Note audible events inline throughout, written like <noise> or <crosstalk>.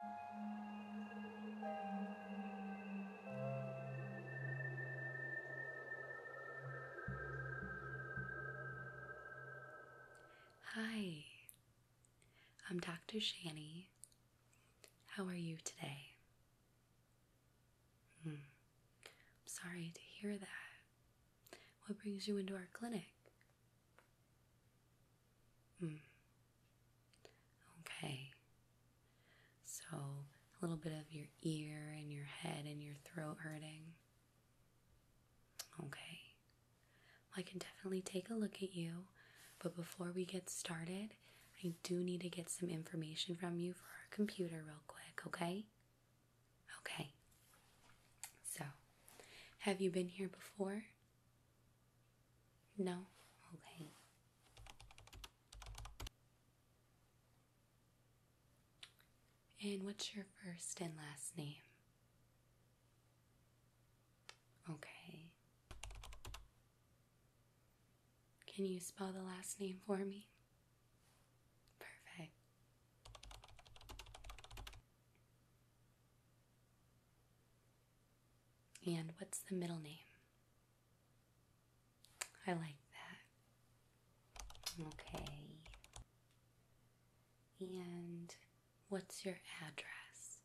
Hi, I'm Dr. Shani. How are you today? Hmm. I'm sorry to hear that. What brings you into our clinic? Mm. Okay. So, a little bit of your ear and your head and your throat hurting. Okay. I can definitely take a look at you, but before we get started, I do need to get some information from you for our computer real quick, okay? Okay. So, have you been here before? No? Okay. And what's your first and last name? Okay. Can you spell the last name for me? Perfect. And what's the middle name? I like that. Okay. And what's your address?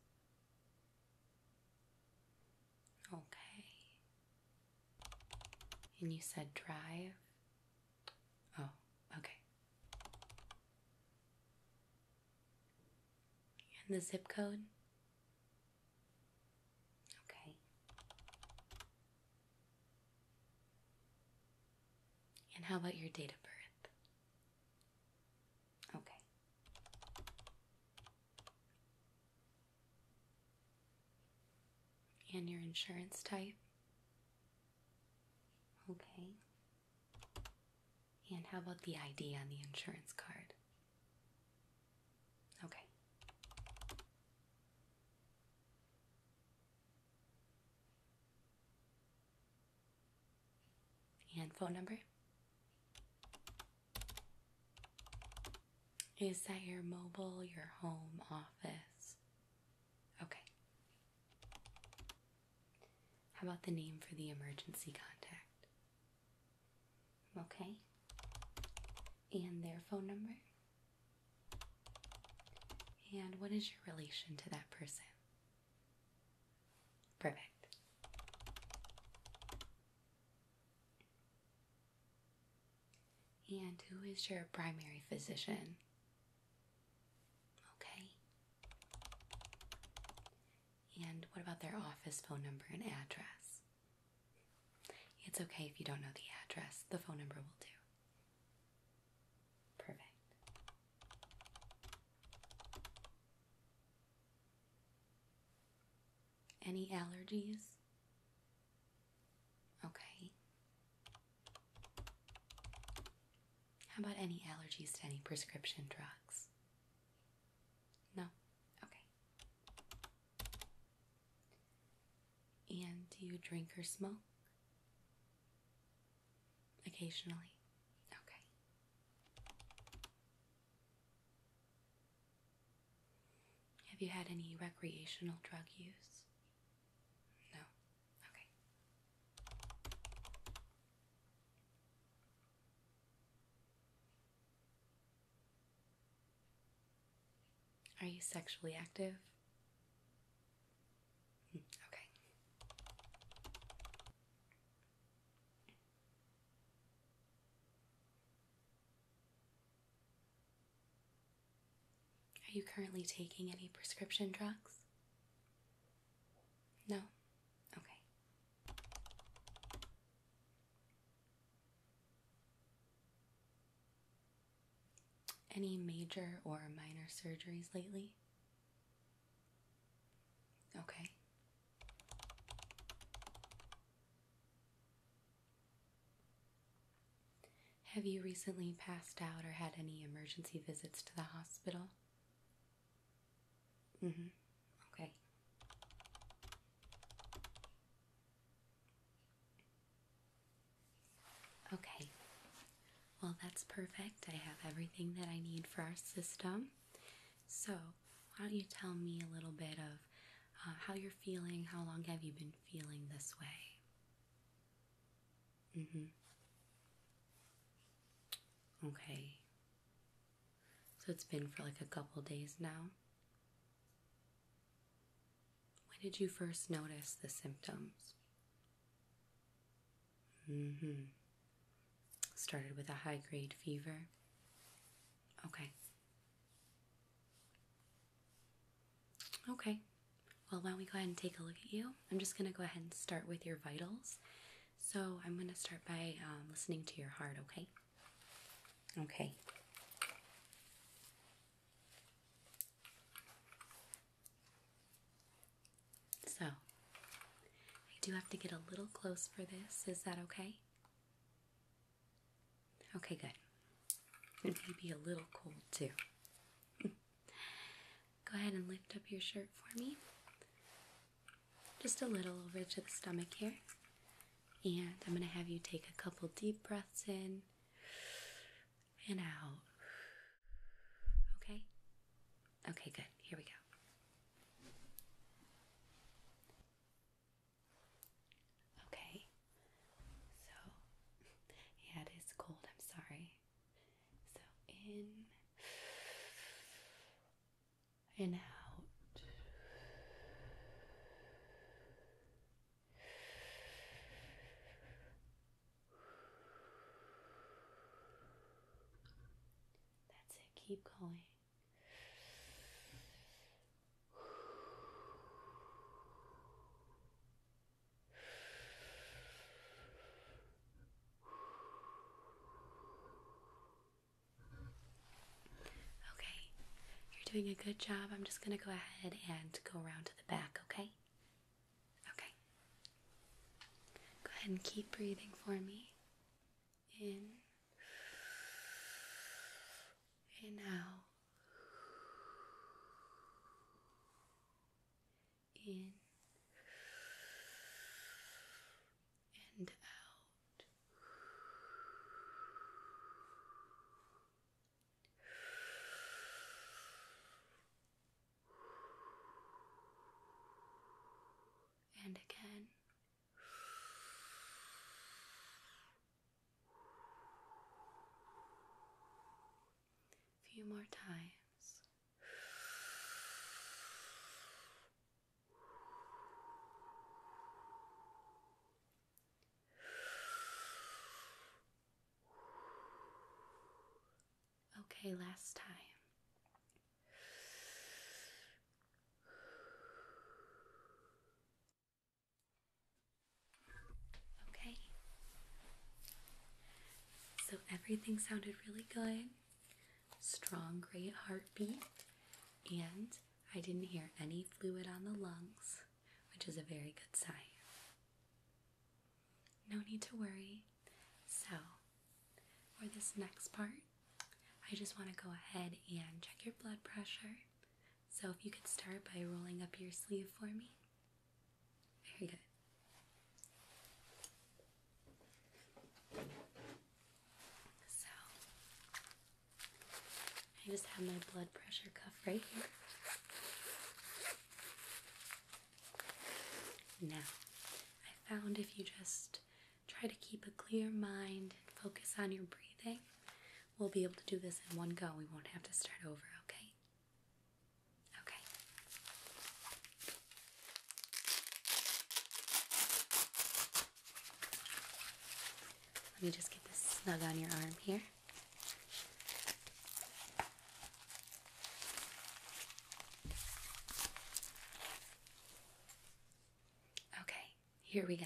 Okay. And you said drive? Oh, okay. And the zip code? Okay. And how about your date of birth? Okay. And your insurance type? Okay. And how about the ID on the insurance card? Okay. And phone number? Is that your mobile, your home, office? Okay. How about the name for the emergency contact? Okay. And their phone number? And what is your relation to that person? Perfect. And who is your primary physician? Okay. And what about their office phone number and address? It's okay if you don't know the address, the phone number will do. Perfect. Any allergies? Okay. How about any allergies to any prescription drugs? No? Okay. And do you drink or smoke? Occasionally. Okay. Have you had any recreational drug use? No. Are you sexually active? Hmm, okay. Are you currently taking any prescription drugs? No? Okay. Any major or minor surgeries lately? Okay. Have you recently passed out or had any emergency visits to the hospital? Mm-hmm. Okay. Okay. Well, that's perfect. I have everything that I need for our system. So, why don't you tell me a little bit of uh, how you're feeling? How long have you been feeling this way? Mm-hmm. Okay. So it's been for like a couple days now. When did you first notice the symptoms? Mm-hmm. Started with a high grade fever. Okay. Okay. Well, while we go ahead and take a look at you? I'm just going to go ahead and start with your vitals. So I'm going to start by um, listening to your heart, okay? Okay. So, I do have to get a little close for this. Is that okay? Okay, good. It may be a little cold too. <laughs> Go ahead and lift up your shirt for me. Just a little over to the stomach here. And I'm going to have you take a couple deep breaths in and out. Okay? Okay, good. Here we go. Okay. So, <laughs> yeah, it is cold. I'm sorry. So in and out. That's it, keep going. Okay, you're doing a good job. I'm just going to go ahead and go around to the back, okay? Okay. Go ahead and keep breathing for me. In and out in and out. And again. few more times. Okay, last time. Okay. So everything sounded really good. Strong, great heartbeat. And I didn't hear any fluid on the lungs, which is a very good sign. No need to worry. So, for this next part, I just want to go ahead and check your blood pressure. So, if you could start by rolling up your sleeve for me. Here you So, I just have my blood pressure cuff right here. Now, I found if you just try to keep a clear mind and focus on your breathing, we'll be able to do this in one go. We won't have to start over, okay? Okay. Let me just get this snug on your arm here. Okay, here we go.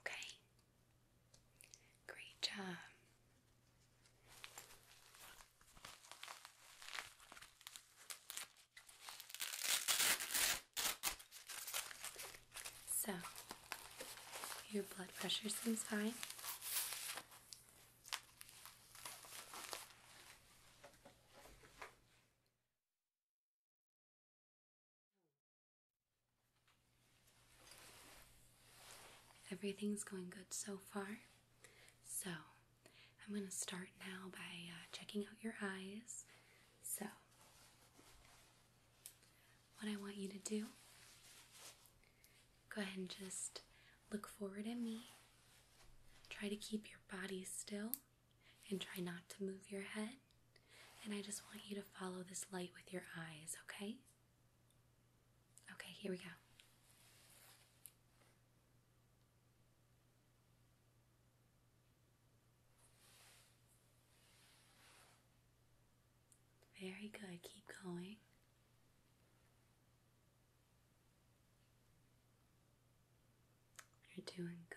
Okay. Great job. So, your blood pressure seems fine. Hmm. Everything's going good so far. So, I'm going to start now by uh, checking out your eyes. So, what I want you to do, go ahead and just look forward at me. Try to keep your body still and try not to move your head. And I just want you to follow this light with your eyes, okay? Okay, here we go. Very good, keep going. You're doing good.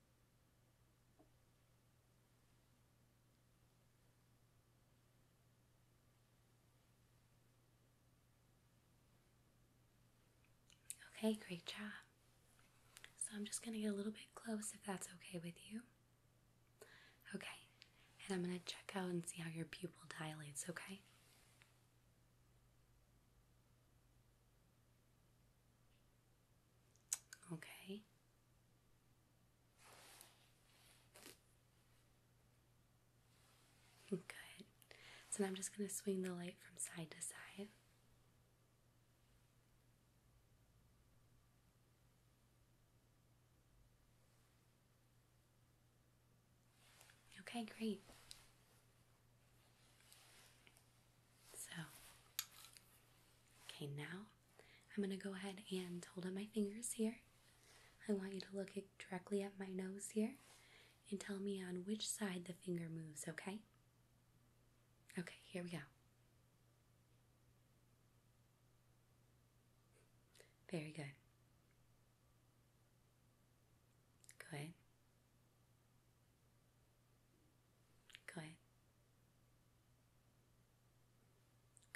Okay, great job. So I'm just going to get a little bit close if that's okay with you. Okay, and I'm going to check out and see how your pupil dilates, okay? Okay. Good. So I'm just going to swing the light from side to side. Okay, great. So, okay, now I'm gonna go ahead and hold up my fingers here. I want you to look directly at my nose here and tell me on which side the finger moves, okay? Okay, here we go. Very good. Good. Good.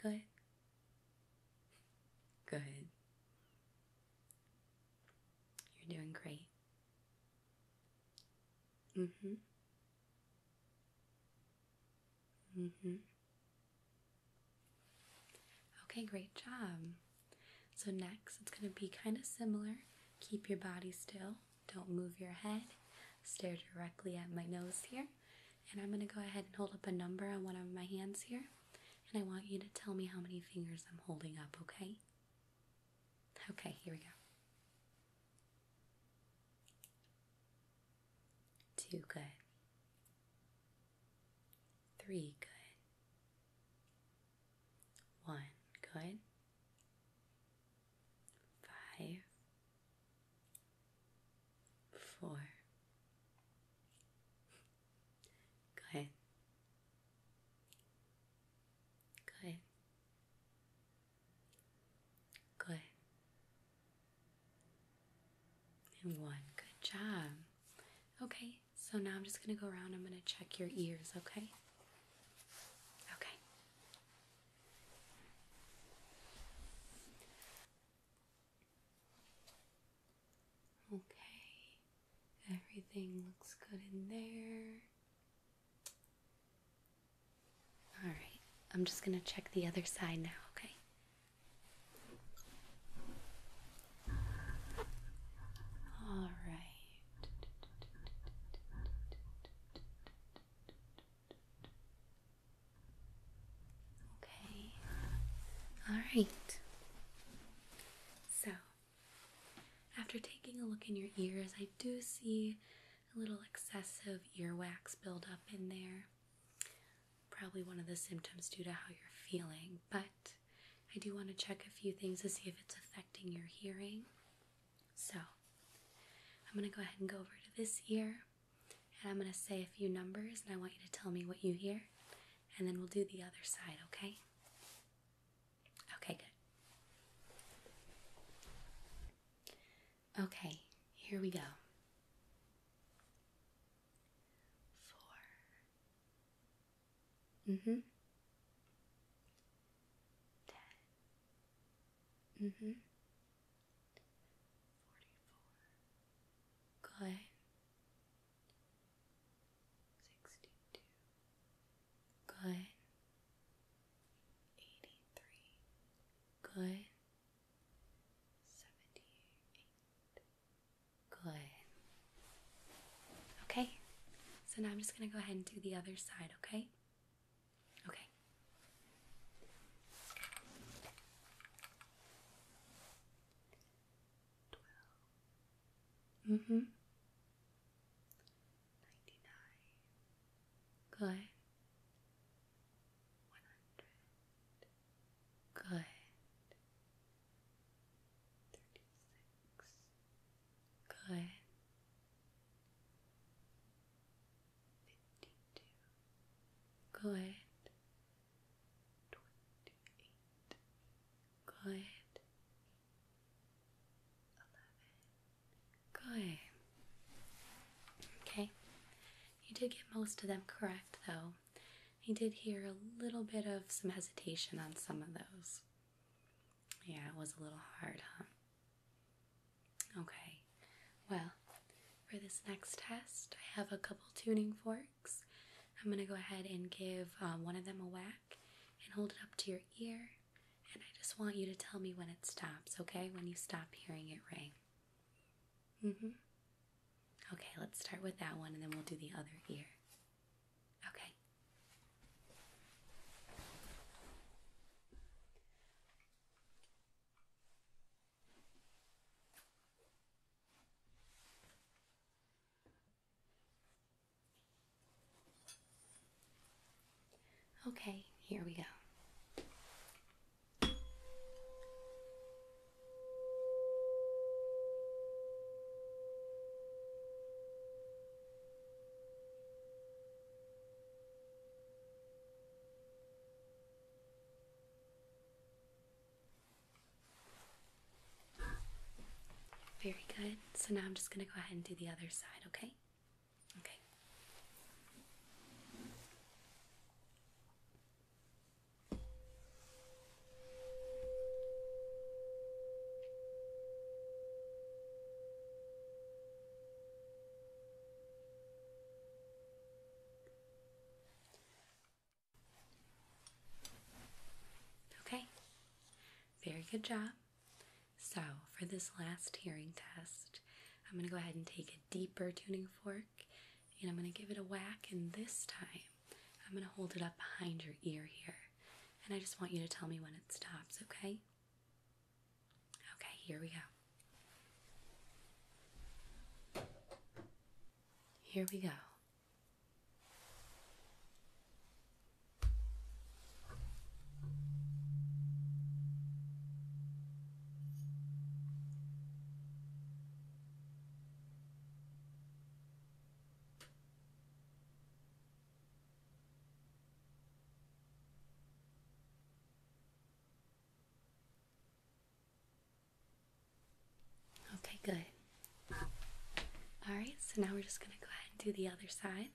Good. Good. You're doing great. Mm hmm. Mm hmm. Okay, great job. So, next, it's going to be kind of similar. Keep your body still. Don't move your head. Stare directly at my nose here. And I'm going to go ahead and hold up a number on one of my hands here. And I want you to tell me how many fingers I'm holding up, okay? Okay, here we go. Two, good. Three, good. One, good five, four. Good. Good. Good. And one. Good job. Okay, so now I'm just going to go around. I'm going to check your ears, okay? Okay. Okay, everything looks good in there. All right, I'm just going to check the other side now, okay? All right. Okay. All right. So, after taking a look in your ears, I do see a little excessive earwax buildup in there. Probably one of the symptoms due to how you're feeling, but I do want to check a few things to see if it's affecting your hearing. So I'm going to go ahead and go over to this ear and I'm going to say a few numbers and I want you to tell me what you hear and then we'll do the other side, okay? Okay, good. Okay, here we go. Four. hmm ten. Mm hmm. Good. Sixty two. Good. Eighty three. Good. Seventy eight. Good. Okay, so now I'm just going to go ahead and do the other side, okay? Okay. Twelve. Mm-hmm. Good. One hundred. Good. Thirty-six. Good. 52. Good. 28. Good. 11. Good. Okay. You did get most of them correct, though. I did hear a little bit of some hesitation on some of those. Yeah, it was a little hard, huh? Okay, well, for this next test, I have a couple tuning forks. I'm gonna go ahead and give uh, one of them a whack and hold it up to your ear. And I just want you to tell me when it stops, okay? When you stop hearing it ring. Mm hmm. Okay, let's start with that one and then we'll do the other ear. Okay. Okay, here we go. Very good. So now I'm just going to go ahead and do the other side, okay? Okay. Okay, very good job. So, for this last hearing test, I'm going to go ahead and take a deeper tuning fork and I'm going to give it a whack, and this time I'm going to hold it up behind your ear here and I just want you to tell me when it stops, okay? Okay, here we go. Here we go. Okay, good. All right, so now we're just going to go ahead and do the other side.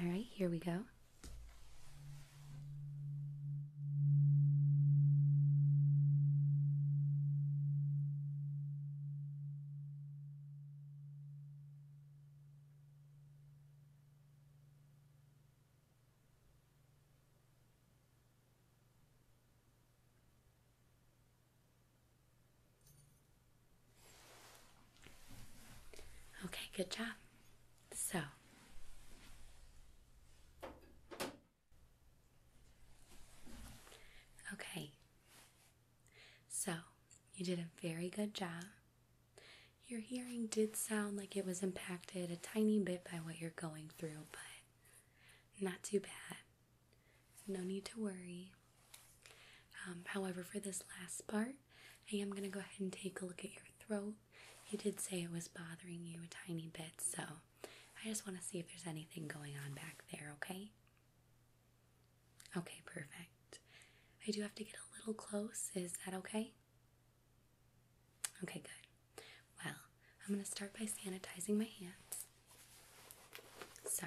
All right, here we go. Okay, good job. So Okay, so you did a very good job. Your hearing did sound like it was impacted a tiny bit by what you're going through, but not too bad. No need to worry. Um, however, for this last part, I am going to go ahead and take a look at your throat. You did say it was bothering you a tiny bit, so I just want to see if there's anything going on back there, okay? Okay, perfect. I do have to get a little close. Is that okay? Okay, good. Well, I'm going to start by sanitizing my hands. So,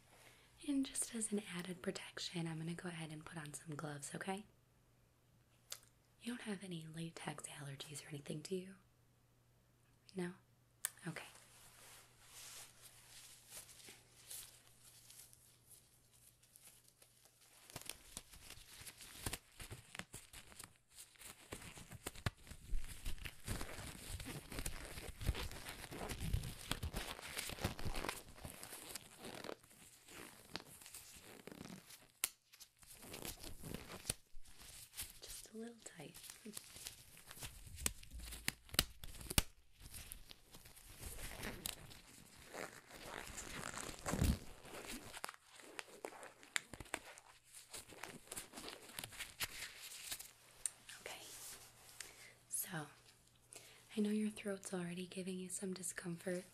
and just as an added protection, I'm going to go ahead and put on some gloves, okay? You don't have any latex allergies or anything, do you? No? Okay. Just a little tight. <laughs> Okay, so I know your throat's already giving you some discomfort,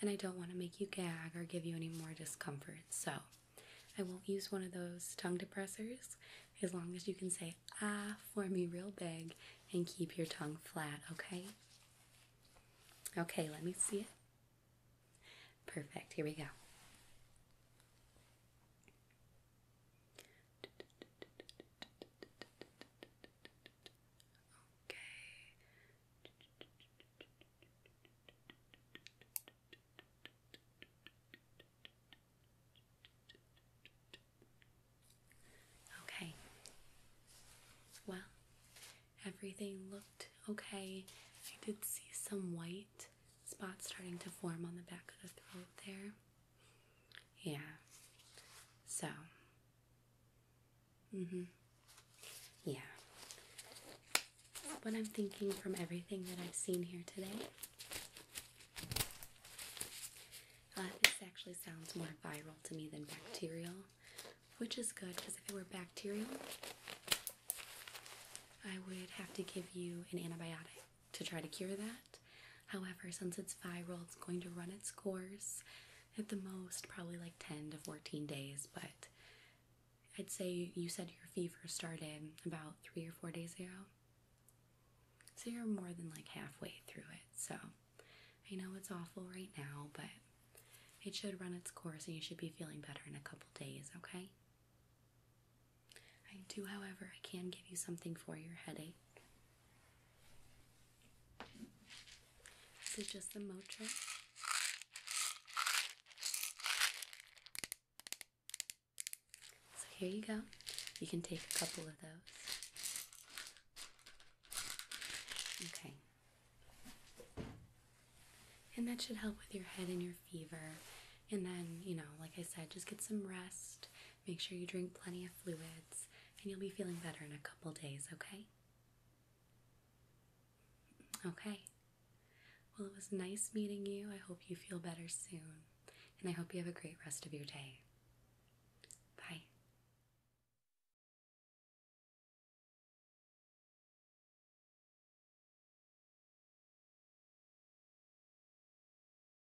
and I don't want to make you gag or give you any more discomfort, so I won't use one of those tongue depressors as long as you can say ah for me real big and keep your tongue flat, okay? Okay, let me see it. Perfect, here we go. Okay. Well, everything looked okay. I did see some white spots starting to form on the back of the throat there. Yeah. So. Mm hmm. Yeah. What I'm thinking from everything that I've seen here today. Uh, this actually sounds more viral to me than bacterial, which is good because if it were bacterial, I would have to give you an antibiotic to try to cure that. However, since it's viral, it's going to run its course at the most, probably like 10 to 14 days. But I'd say you said your fever started about three or four days ago. So you're more than like halfway through it. So I know it's awful right now, but it should run its course and you should be feeling better in a couple days, okay? I do, however, I can give you something for your headache. Is it just the Motra? So here you go. You can take a couple of those. Okay. And that should help with your head and your fever. And then, you know, like I said, just get some rest Make sure you drink plenty of fluids, and you'll be feeling better in a couple days, okay? Okay. Well, it was nice meeting you. I hope you feel better soon, and I hope you have a great rest of your day. Bye.